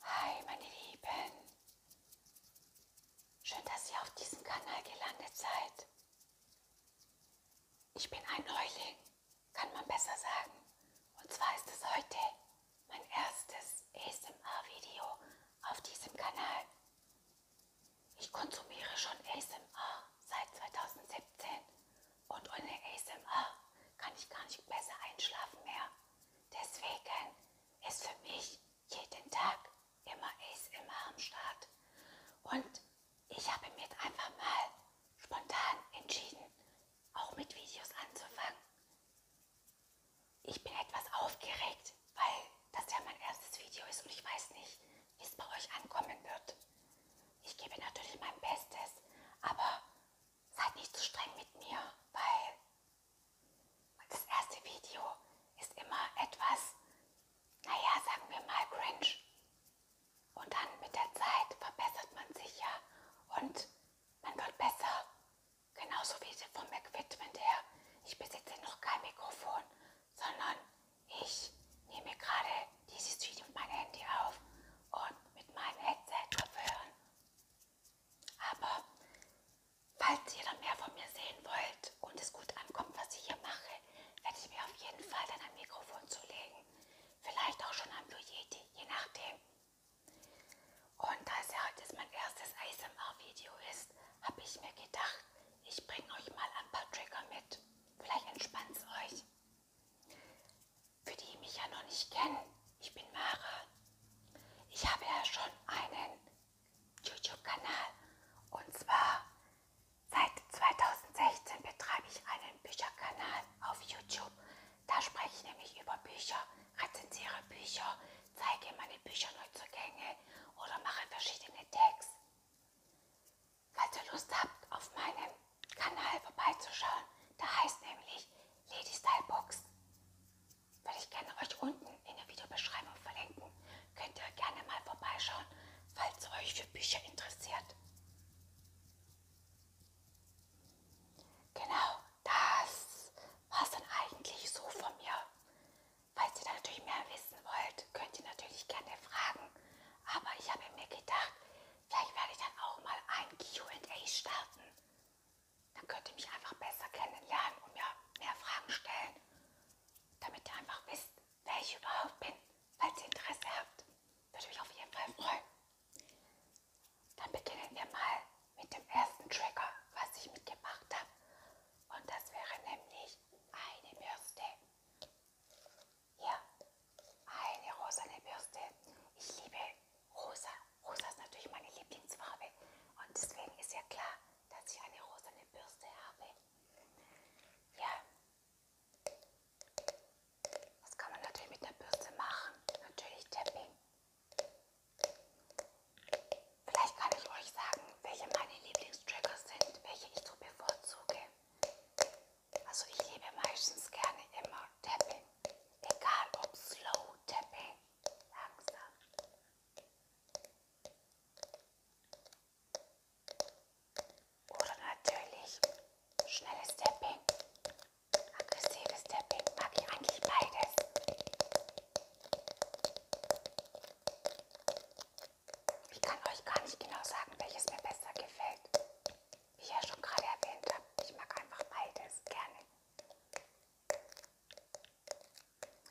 Hi meine Lieben, schön, dass ihr auf diesem Kanal gelandet seid. Ich bin ein Neuling, kann man besser sagen. Und zwar ist es heute mein erstes ASMR-Video auf diesem Kanal. Ich konsumiere schon ASMR seit 2017 und ohne ASMR kann ich gar nicht besser einschlafen mehr. Deswegen ist für mich jeden Tag immer ASMR am Start. Und ich habe mir einfach mal spontan entschieden, auch mit Videos anzufangen. Ich bin etwas aufgeregt, weil das ja mein erstes Video ist und ich weiß nicht, wie es bei euch ankommen wird. Ich gebe natürlich mein Bestes, aber seid nicht zu streng mit mir, weil das erste Video ist immer etwas, naja, sagen wir mal cringe. Und dann mit der Zeit verbessert man sich ja und man wird besser. Genauso wie vom Equipment her. Ich besitze noch kein Mikrofon, sondern ich nehme gerade dieses Video mit meinem Handy auf und mit meinem Headset-Kopfhörern. Aber falls ihr dann mehr von mir sehen wollt und es gut ankommt, was ich hier mache, werde ich mir auf jeden Fall dann ein Mikrofon zulegen. Vielleicht auch schon am Blue Yeti, je nachdem. Und da es ja heute mein erstes ASMR-Video ist, habe ich mir gedacht, ich bringe euch mal ein paar Trigger mit. Vielleicht entspannt es euch. Für die mich ja noch nicht kennen, ich bin Mara. Ich habe ja schon einen YouTube-Kanal und zwar seit 2016 betreibe ich einen Bücherkanal auf YouTube. Da spreche ich nämlich über Bücher, rezensiere Bücher, zeige meine Bücherneuzugänge oder mache verschiedene Tags falls ihr Lust habt, auf meinem Kanal vorbeizuschauen. Da heißt nämlich Lady Style Box. Würde ich gerne euch unten in der Videobeschreibung verlinken. Könnt ihr gerne mal vorbeischauen, falls ihr euch für Bücher interessiert. Genau, das war es dann eigentlich so von mir. Falls ihr da natürlich mehr wissen wollt, könnt ihr natürlich gerne fragen aber ich habe mir gedacht, vielleicht werde ich dann auch mal ein QA starten. Dann könnt ihr mich einfach besser kennenlernen und mir mehr Fragen stellen, damit ihr einfach wisst, wer ich überhaupt bin. Falls ihr Interesse habt, würde mich auf jeden Fall freuen. Dann beginnen wir mal mit dem ersten Trigger, was ich mitgemacht habe. Und das wäre nämlich eine Bürste. Hier, eine rosane Bürste. Ich liebe rosa. Rosa ist natürlich meine Lieblingsfarbe. Und deswegen ist ja klar, dass ich eine rosane Bürste habe. Ja. Was kann man natürlich mit einer Bürste machen? Natürlich Tapping. Vielleicht kann ich euch sagen, welche meine Lieblingstrackers sind, welche ich so bevorzuge. Also ich liebe meistens gerne immer Tapping. Egal ob Slow Tapping, langsam. Oder natürlich schnelles Tapping, aggressives Tapping. Mag ich eigentlich beides. Ich kann euch gar nicht genau sagen, welches mir besser gefällt. Wie ich ja schon gerade erwähnt habe, ich mag einfach beides gerne.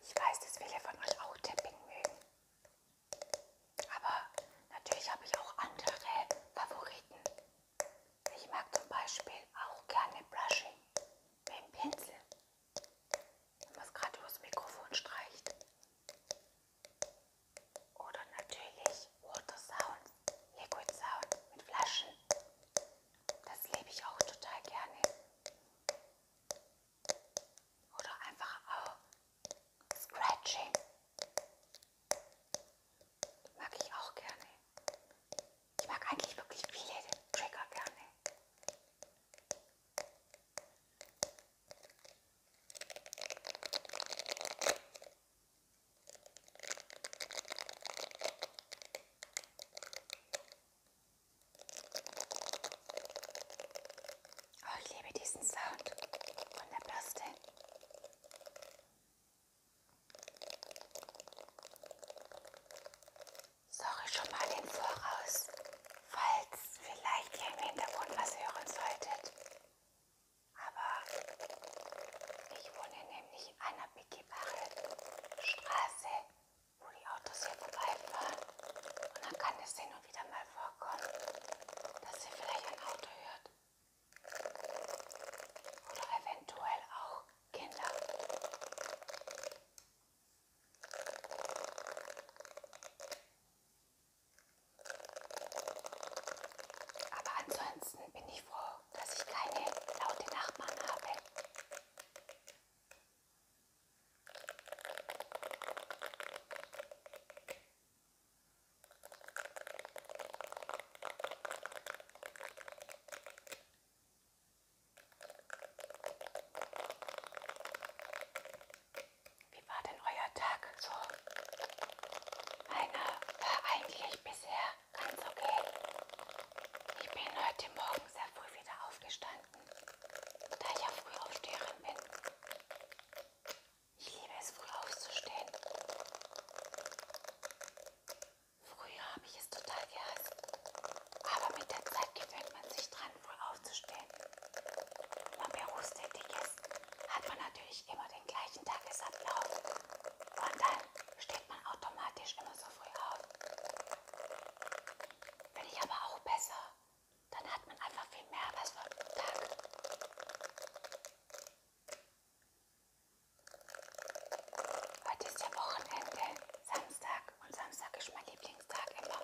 Ich weiß, dass viele von euch auch Tapping mögen. Aber natürlich habe ich auch andere Favoriten. Ich mag zum Beispiel auch gerne Brushing mit dem Pinsel. Wenn man es gerade übers Mikrofon streicht. Oder natürlich Water Sound, Liquid Sound mit Flaschen. Das lebe ich auch total gerne. Oder einfach auch Scratching. Mag ich auch gerne. Ich mag eigentlich wirklich viele Trigger gerne. Oh, ich liebe diesen Sound von der Bürste. Sorry schon mal im Voraus falls vielleicht ihr im Hintergrund was hören solltet. Aber ich wohne nämlich an einer begehbaren Straße, wo die Autos hier vorbeifahren. Und dann kann es hin und wieder mal vorkommen, dass ihr vielleicht ein Auto hört. Oder eventuell auch Kinder. Aber ansonsten bin ich froh, dass ich keine laute Nachbarn habe. Wie war denn euer Tag? So, meiner war eigentlich bisher ganz okay. Ich bin heute Morgen sehr früh wieder aufgestanden, da ich ja früh aufsteherin bin. Ich liebe es, früh aufzustehen. Früher habe ich es total gehasst, aber mit der Zeit gewöhnt man sich dran an, früh aufzustehen. Wenn man berufstätig ist, hat man natürlich immer den gleichen Tagesablauf. Und dann steht man automatisch immer so früh auf. Finde ich aber auch besser. Dann hat man einfach viel mehr was vom Tag. Heute ist ja Wochenende, Samstag und Samstag ist mein Lieblings. Valentinstag immer.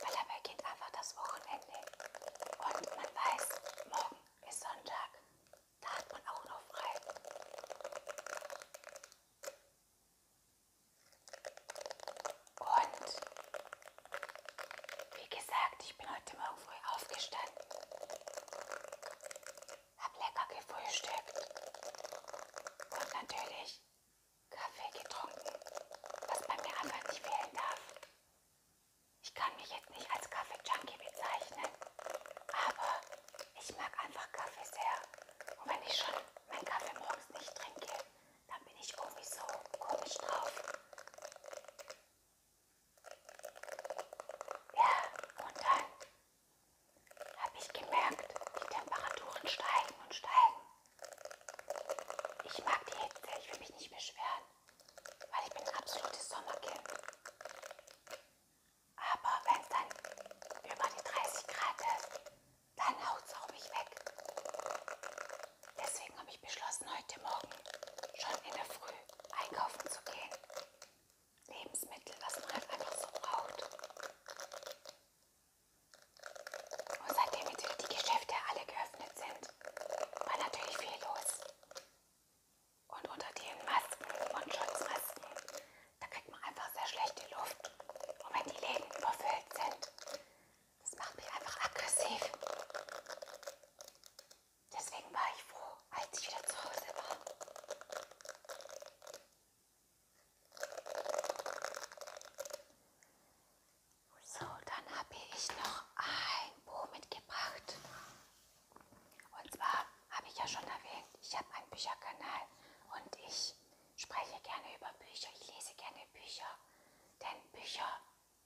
Weil er beginnt einfach das Wochenende. Und man weiß, morgen ist Sonntag. Da hat man auch noch frei. Und wie gesagt, ich bin heute Morgen früh aufgestanden, habe lecker gefrühstückt und natürlich Kaffee getrunken, was bei mir einfach nicht fehlen darf. Ich kann mich jetzt nicht als Kaffee-Junkie bezeichnen, aber ich mag einfach Kaffee sehr. Und wenn ich schon meinen Kaffee morgens nicht trinke, dann bin ich irgendwie so komisch drauf. Ja, und dann habe ich gemerkt, die Temperaturen steigen und steigen. Ich mag die Hitze, ich will mich nicht beschweren, weil ich bin ein absolutes Sommerkind. Aber wenn es dann über die 30 Grad ist, dann haut es auch mich weg. Deswegen habe ich beschlossen, heute Morgen schon in der Früh einkaufen zu gehen. Lebensmittel, was man halt einfach so braucht. Und seitdem natürlich die Geschäfte alle geöffnet sind, war natürlich viel los. Und unter den Masken und Schutzmasken, da kriegt man einfach sehr schlechte Luft. Und wenn die Läden überfüllt sind, das macht mich einfach aggressiv. Deswegen war ich froh, als ich wieder zu Hause war. So, dann habe ich noch ein Buch mitgebracht. Und zwar habe ich ja schon erwähnt, ich habe einen Bücherkanal und ich spreche gerne über Bücher, ich lese gerne Bücher, denn Bücher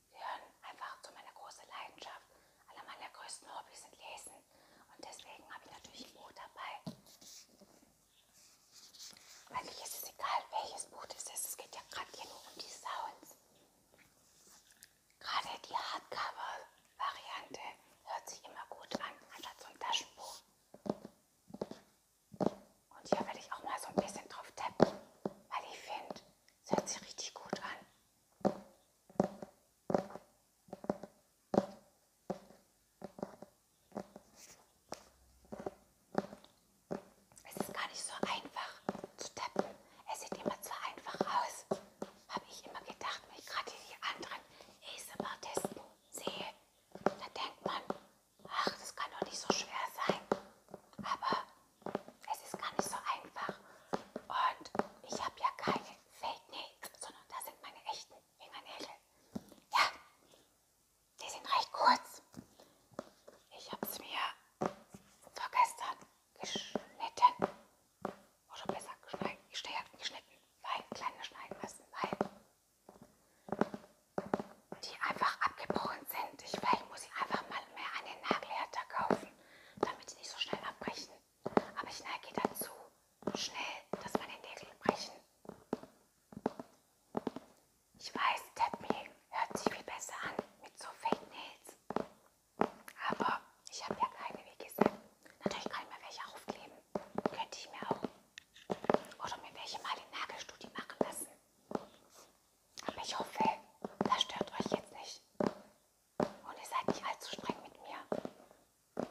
gehören einfach zu meiner großen Leidenschaft. Einer meiner größten Hobbys sind Lesen und deswegen habe ich natürlich ein Buch dabei. Eigentlich ist es egal, welches Buch das ist. Es geht ja gerade hier nur um die Sounds. Gerade die Hardcover-Variante hört sich immer gut an, anstatt so ein Taschenbuch. Und hier werde ich auch mal so ein bisschen drauf tappen, weil ich finde, es hört sich richtig gut an. Es ist gar nicht so einfach zu tappen. Es sieht immer zwar einfach aus, habe ich immer gedacht, wenn ich gerade die anderen ASMR-Testen sehe, da denkt man, ach, das kann doch nicht so schwer sein. Aber es ist gar nicht so einfach. Und ich habe ja keine Fake Nails, sondern da sind meine echten Fingernägel. Ja, die sind recht kurz. Ich habe es mir vorgestern geschnitten. Oder besser geschneiden, geschnitten, weil kleine schneiden müssen, weil die einfach abgebrochen sind. Ich, vielleicht muss ich einfach mal mehr an den Nagelhärter kaufen, damit die nicht so schnell abbrechen. Aber ich neige dazu, schnell, dass meine Nägel brechen. Ich weiß, Tap Me hört sich viel besser an mit so Fake Nails. Aber ich habe ja keine, wie gesagt. Natürlich kann ich mir welche aufkleben. Könnte ich mir auch. Oder mir welche mal in Nagelstudie machen lassen. Aber ich hoffe, das stört euch jetzt nicht. Und ihr seid nicht allzu streng mit mir.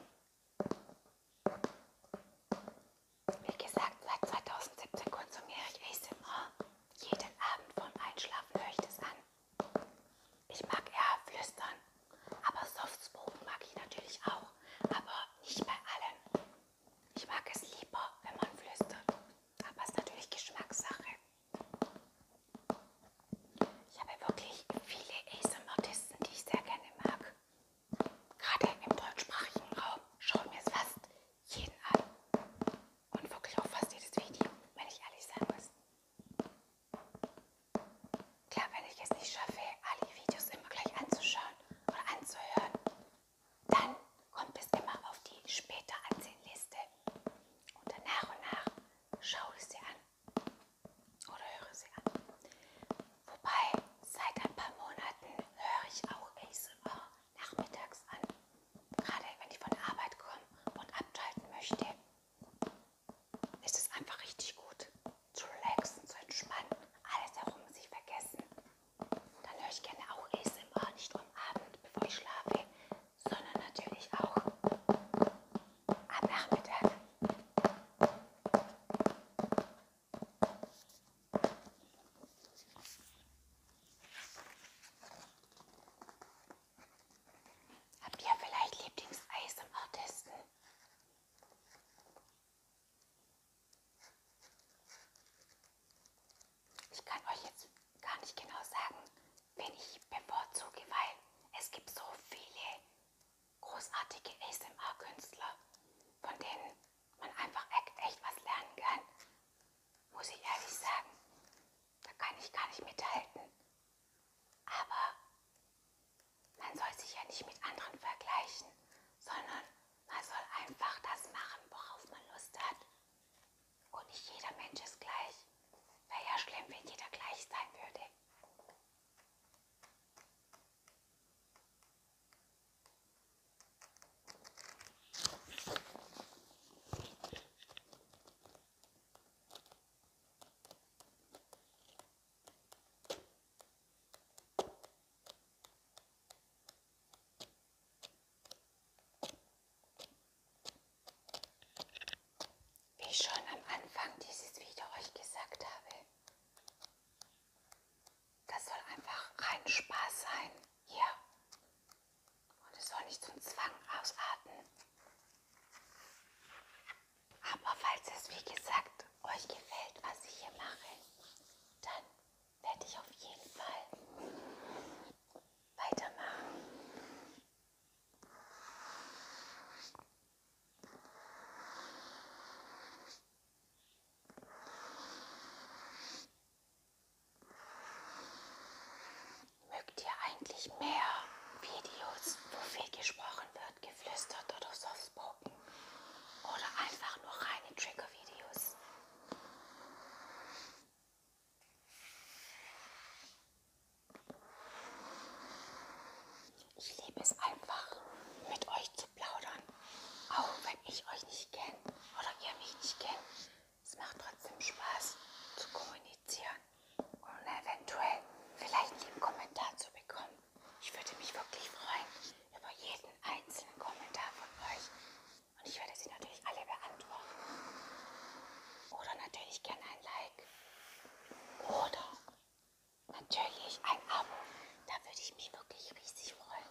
Wie gesagt, seit 2017 konsumiere ich ASMR. Jeden Abend vorm Einschlafen höre ich das an. Ich mag eher flüstern, aber Softspoken mag ich natürlich auch, aber nicht bei allen. Ich mag es lieber, wenn man flüstert, aber es ist natürlich Geschmackssache. Ich habe wirklich viele ASMR-Artisten, die ich sehr gerne mag gerade im deutschsprachigen Raum schaue ich mir es fast jeden an. Und wirklich auch fast jedes Video, wenn ich ehrlich sein muss. Klar, wenn ich es nicht schaffe, alle Videos immer gleich anzuschauen oder anzuhören, dann kommt es immer auf die später ansehen Liste. Und dann nach und nach schaue ich sie an oder höre sie an. Wobei, seit ein paar Monaten höre ich auch ASMR nachmittags an. Gerade wenn ich von der Arbeit komme und abschalten möchte, ist es einfach richtig gut, zu relaxen, zu entspannen, alles herum sich vergessen. Dann höre ich gerne auch ASMR, nicht nur am Abend, bevor ich schlafe, sondern natürlich auch am Nachmittag. Habt ihr vielleicht Lieblingseis im Artisten? Ich kann euch jetzt gar nicht genau sagen, wen ich bevorzuge, weil es gibt so viele großartige ASMR-Künstler, von denen man einfach echt was lernen kann. Muss ich ehrlich sagen, da kann ich gar nicht mithalten. Aber man soll sich ja nicht mit anderen vergleichen, sondern man soll einfach das machen, worauf man Lust hat. Und nicht jeder Mensch ist gleich. Wäre ja schlimm, wenn jeder gleich sein würde. Wie ich schon am Anfang dieses Video euch gesagt habe, das soll einfach rein Spaß sein. Hier. Und es soll nicht zum Zwang ausarten. Aber falls es, wie gesagt, euch gefällt, was ich hier mache, dann werde ich auf jeden Fall weitermachen. Mögt ihr eigentlich mehr Videos, wo viel gesprochen wird, geflüstert oder softspoken? Oder einfach nur reine Trigger-Videos? Ich liebe es einfach, mit euch zu plaudern. Auch wenn ich euch nicht kenne oder ihr mich nicht kennt. Es macht trotzdem Spaß zu kommunizieren und eventuell vielleicht einen Kommentar zu bekommen. Ich würde mich wirklich freuen über jeden einzelnen Kommentar von euch. Und ich werde sie natürlich alle beantworten. Oder natürlich gerne ein Like. Oder natürlich ein Abo. Da würde ich mich wirklich riesig freuen.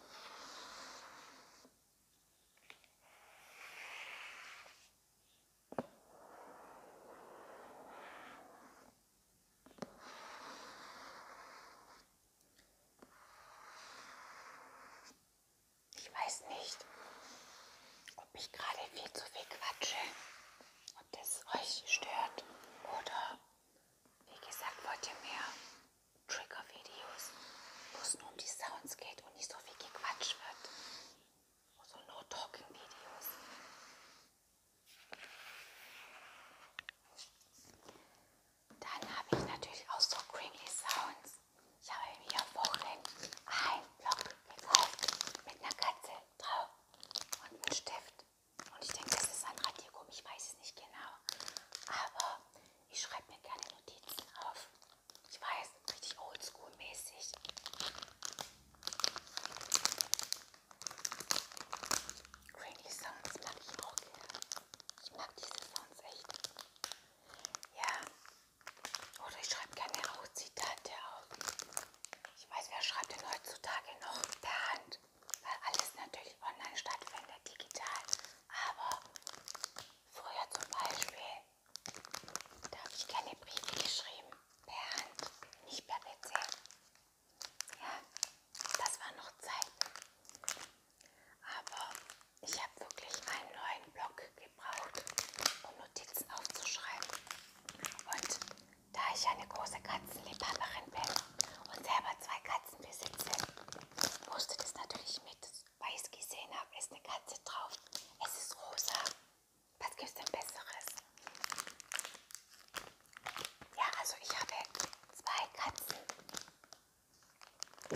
Ich weiß nicht, ob ich gerade viel zu viel quatsche, ob das euch stört oder wie gesagt, wollt ihr mehr Trigger-Videos, wo es nur um die Sounds geht und nicht so viel gequatscht wird. So also No-Talking-Videos. Dann habe ich natürlich auch so creamy Sounds. Ich habe mir am Wochenende einen Block gekauft mit einer Katze drauf und einem Stift. Und ich denke, das ist ein Radiergummi, ich weiß es nicht genau. Aber ich schreibe mir gerne Notizen auf. Ich weiß, richtig oldschool-mäßig. Cranky Sounds mag ich auch gerne. Ich mag diese Sounds echt. Ja. Oder ich schreibe gerne auch Zitate auf. Ich weiß, wer schreibt denn heutzutage noch per Hand? weil alles natürlich online stattfindet, digital. Aber früher zum Beispiel, da habe ich gerne Briefe geschrieben, per Hand, nicht per PC. Ja, das waren noch Zeiten. Aber ich habe wirklich einen neuen Block gebraucht, um Notizen aufzuschreiben. Und da ich eine große Katzenliebhaberin bin und selber zwei Katzen besitze, musste das natürlich mit, weil ich es gesehen habe, ist eine Katze drauf. Es ist rosa. Was gibt es denn Besseres? Ja, also ich habe zwei Katzen.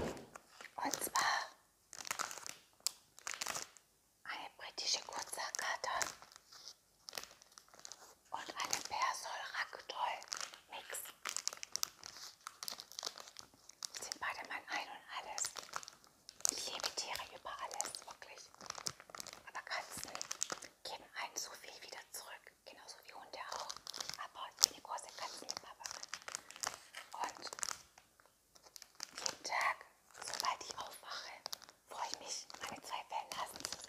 Und zwar eine britische Kurzhaarkater und einen Persol Ragdoll Mix. Sind beide mein Ein und Alles. Ich liebe Tiere über alles, wirklich. Aber Katzen geben einen so viel wieder zurück, genauso wie Hunde auch. Aber ich bin eine große Katzenliebhaberin. Und jeden Tag, sobald ich aufwache, freue ich mich, meine zwei Fellnasen zu sehen.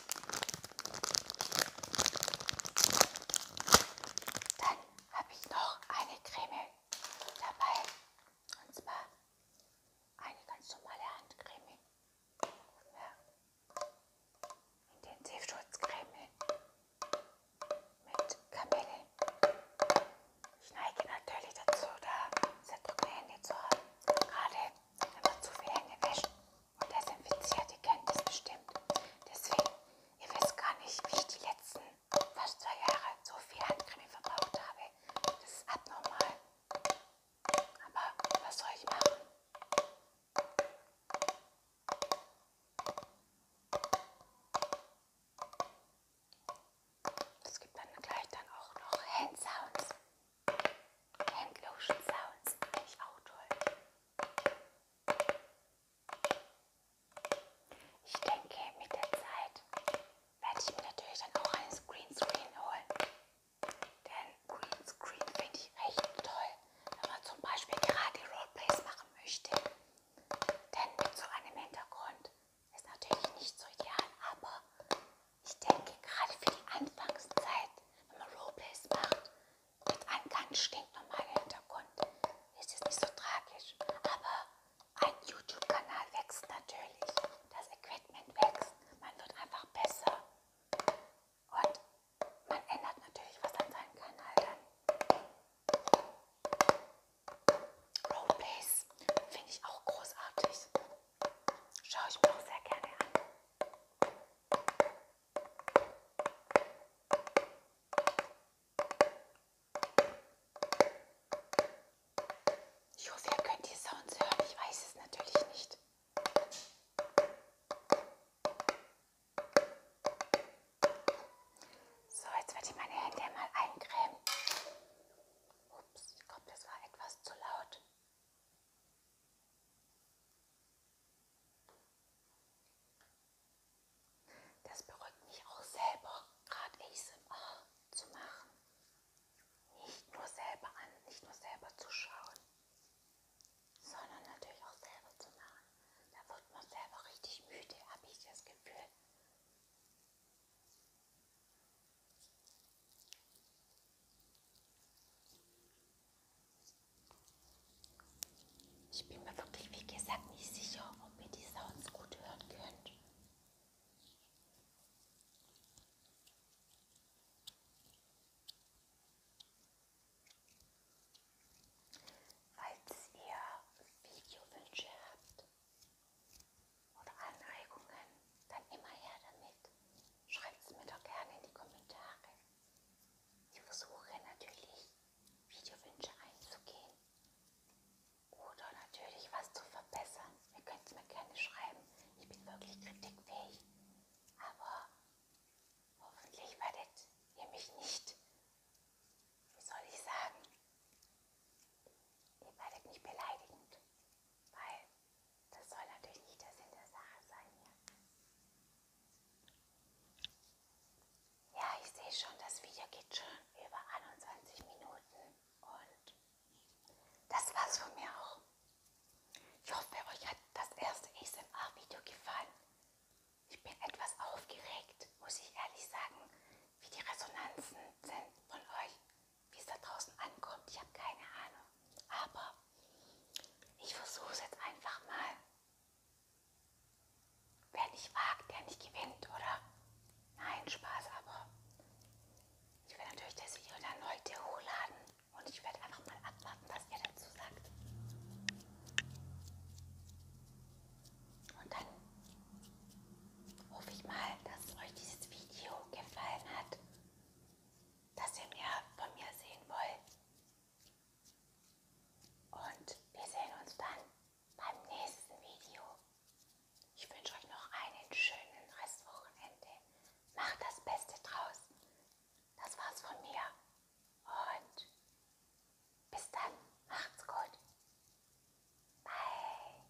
Dann habe ich noch eine Creme dabei. Und zwar eine ganz normale Handcreme. Ja. Intensivschutzcreme mit Kamille. Ich neige natürlich dazu, da sehr trockene Hände zu haben. Gerade wenn man zu viele Hände wäscht und desinfiziert. Ihr kennt das bestimmt. Deswegen, ihr wisst gar nicht, wie ich die letzten fast zwei Jahre so viel Handcreme verbraucht habe. Das ist abnormal. Aber was soll ich machen? Es gibt dann gleich dann auch noch Handsounds. Handlotion Sounds finde ich auch toll. Ich denke, mit der Zeit werde ich mir natürlich dann auch einen Greenscreen holen. Denn Greenscreen finde ich echt toll, wenn man zum Beispiel gerade Roleplays machen möchte. Denn mit so einem Hintergrund ist natürlich nicht so ideal, aber ich denke, gerade für die Anfangszeit, wenn man Roleplays macht, mit einem ganz stinknormalen Hintergrund, ist es nicht so tragisch. Aber ein YouTube-Kanal wächst natürlich. Das Equipment wächst. Man wird einfach besser. Und man ändert natürlich was an seinem Kanal dann. Roleplays finde ich auch großartig. Schaue ich mir auch sehr gerne an. Ich hoffe, ihr könnt die Sounds hören. Ich weiß es natürlich nicht. So, jetzt werde ich meine Hände mal eincremen. Ups, ich glaube, das war etwas zu laut. Das beruhigt mich auch selber, gerade ASMR zu machen. Nicht nur selber an, nicht nur selber zu schauen, sondern natürlich auch selber zu machen. Da wird man selber richtig müde, habe ich das Gefühl. Ich bin mir wirklich, wie gesagt, nicht sicher, ob ihr die Sounds gut hören könnt. Falls ihr Videowünsche habt oder Anregungen, dann immer her damit. Schreibt es mir doch gerne in die Kommentare. Ich versuche natürlich Videowünsche einzugehen oder natürlich was zu verbessern. Ihr könnt es mir gerne schreiben. Ich bin wirklich kritikfähig. Aber hoffentlich werdet ihr mich nicht, wie soll ich sagen, ihr werdet nicht beleidigend, weil das soll natürlich nicht der Sinn der Sache sein hier. Ja, ich sehe schon, das Video geht schon über 21 Minuten und das war's von mir auch. Ich hoffe, euch hat das erste ASMR-Video gefallen. Ich bin etwas aufgeregt, muss ich ehrlich sagen, wie die Resonanzen sind von euch wie es da draußen ankommt. Ich habe keine Ahnung. Aber ich versuche es jetzt einfach mal. Wer nicht wagt, der nicht gewinnt, oder? Nein, Spaß, aber ich werde natürlich das Video dann heute hochladen und ich werde einfach mal abwarten, was ihr dazu sagt. Und dann hoffe ich mal, dass euch dieses Video gefallen hat dass ihr mehr von mir sehen wollt. Und wir sehen uns dann beim nächsten Video. Ich wünsche euch noch einen schönen Restwochenende. Macht das Beste draus. Das war's von mir. Und bis dann. Macht's gut. Bye.